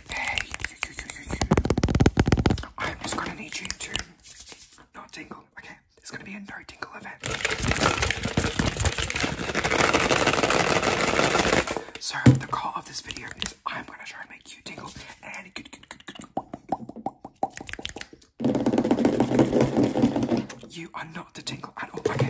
i I'm just gonna need you to not tingle. Okay, There's gonna be a no tingle event. So the goal of this video is I'm gonna try and make you tingle and You are not the tingle at Okay,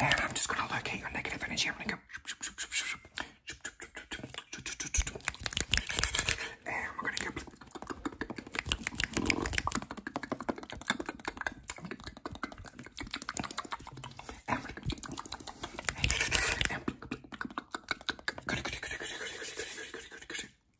And I'm just gonna locate your negative energy. I'm gonna go. And we're gonna go. And we're gonna go. And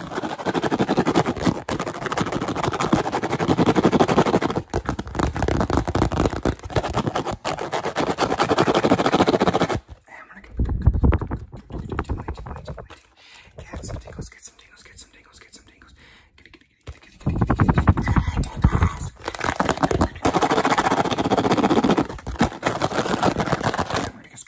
Get some tingles, get some tingles, get some tingles, get some tingles. Get, get, get, get, get, get, get, get, get, get, get. I'm gonna just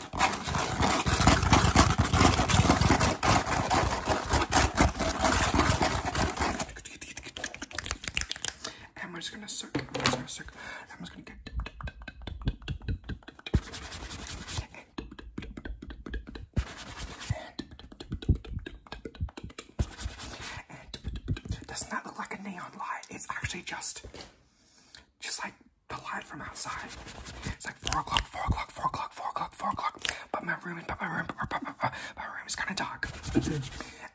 And we're just gonna soak. I'm just gonna soak. I'm just gonna get. And doesn't that look like a neon light? It's actually just, just like the light from outside. It's like four o'clock, four o'clock, four o'clock, four o'clock, four o'clock. But my room, but my room, but my, but my, but my room is kind of dark.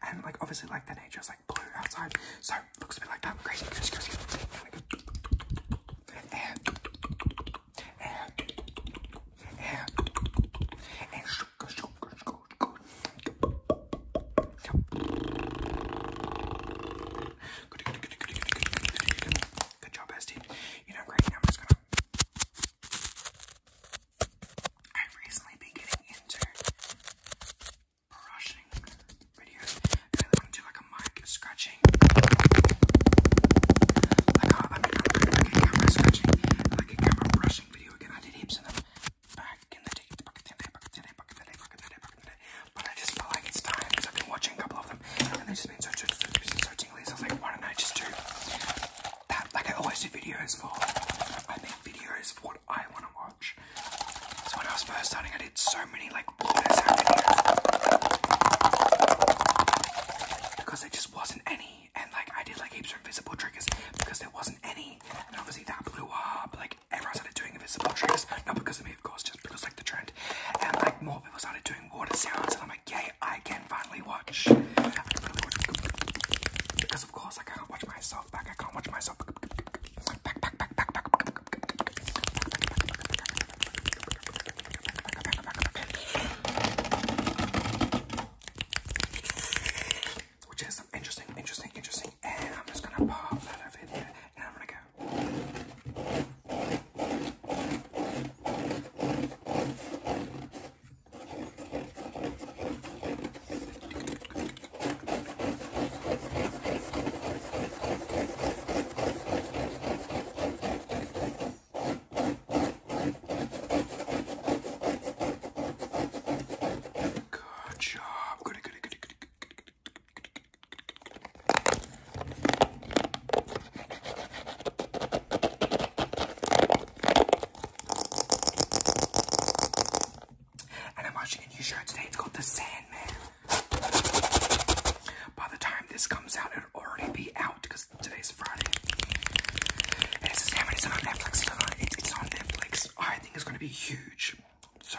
and like obviously, like the nature is like blue outside, so it looks a bit like that. Crazy, crazy, crazy. Air, air, air, and sugar, sugar, sugar, sugar. Good, job, bestie. You know, great. Now i have recently been getting into brushing videos. I want to like a mic scratching. Like a, I mean, like a camera scratching, like a brushing video again. I did heaps of back in the Back in the Back in the Back in the Back in the but I just felt like it's time because I've been watching a couple of them and they've just been so, so, so, so tingly. So I was like, why don't I just do that? Like I always do videos for, I make videos for what I want to watch. So when I was first starting, I did so many like water sound videos because there just wasn't any. And like I did like heaps of invisible triggers because there wasn't any. And obviously that blew up. Like everyone started doing invisible tricks, not because of me, of course, just because like the trend. And like more people started doing water sounds, and I'm like, yay, I can finally watch. because of course like, I can't watch myself back. I can't watch myself Back, back, back, back, back which is interesting, interesting, interesting. And I'm just gonna pop that over it here, and I'm gonna go. Good job. Good, good, good, good, and I'm watching a new show today. It's called The Sandman. By the time this comes out, it'll already be out because today's Friday. And it's Sandman. It's on Netflix. it's on Netflix. I think it's going to be huge. So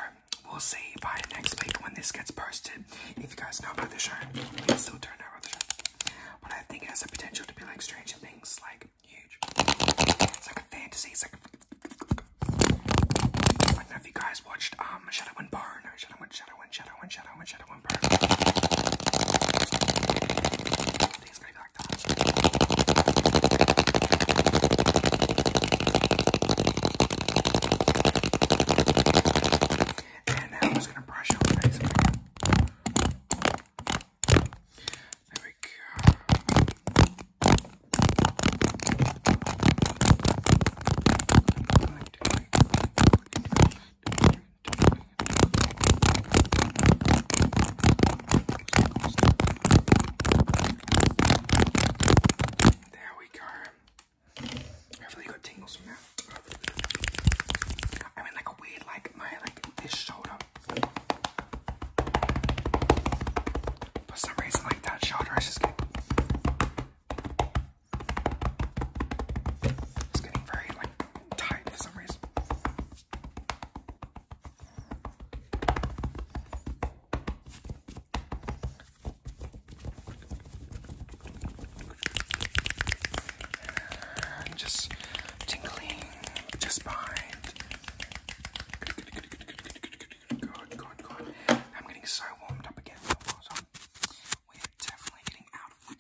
we'll see by next week when this gets posted. If you guys know about the show, you still don't the show. But I think it has the potential to be like Stranger Things, like huge. It's like a fantasy, like if you guys watched um, Shadow and Bone, back down. And now I'm just gonna brush your face. There we go. There we go. I've really got tingles from that. I mean, like a weird, like my like this shoulder. For some reason, like that shoulder is just getting, it's getting very like tight for some reason just tingling just behind. Good, good, good, I'm getting so warmed up again. we're definitely getting out of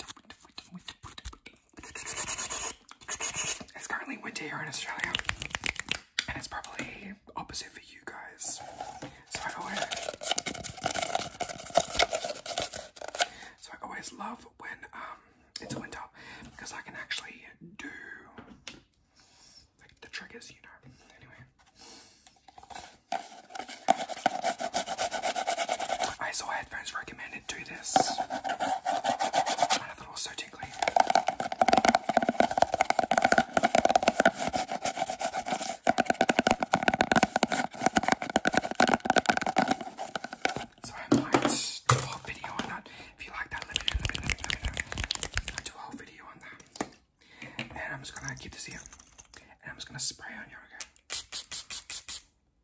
it's currently winter here in Australia, and it's probably opposite for you guys. So I always, so I always love when um it's winter because I can actually do like the trick. Is you know. Anyway. I saw headphones recommended do this. I so I might do a whole video on that. If you like that, let me know, I do a whole video on that. And I'm just gonna keep this here. And I'm just gonna spray on your.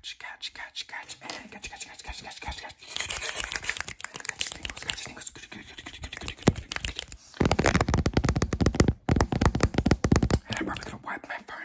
Catch, catch, catch, catch, and catch, catch, catch, catch, catch, catch, catch. Catch tingles, catch tingles. And I probably could have wiped my phone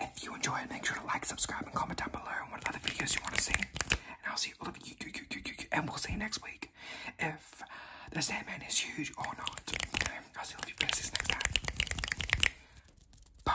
if you enjoy it, make sure to like, subscribe, and comment down below what other videos you want to see. And I'll see all of you, you, you, you, you, and we'll see you next week if the Sandman is huge or not. I'll see all of you next time. Bye.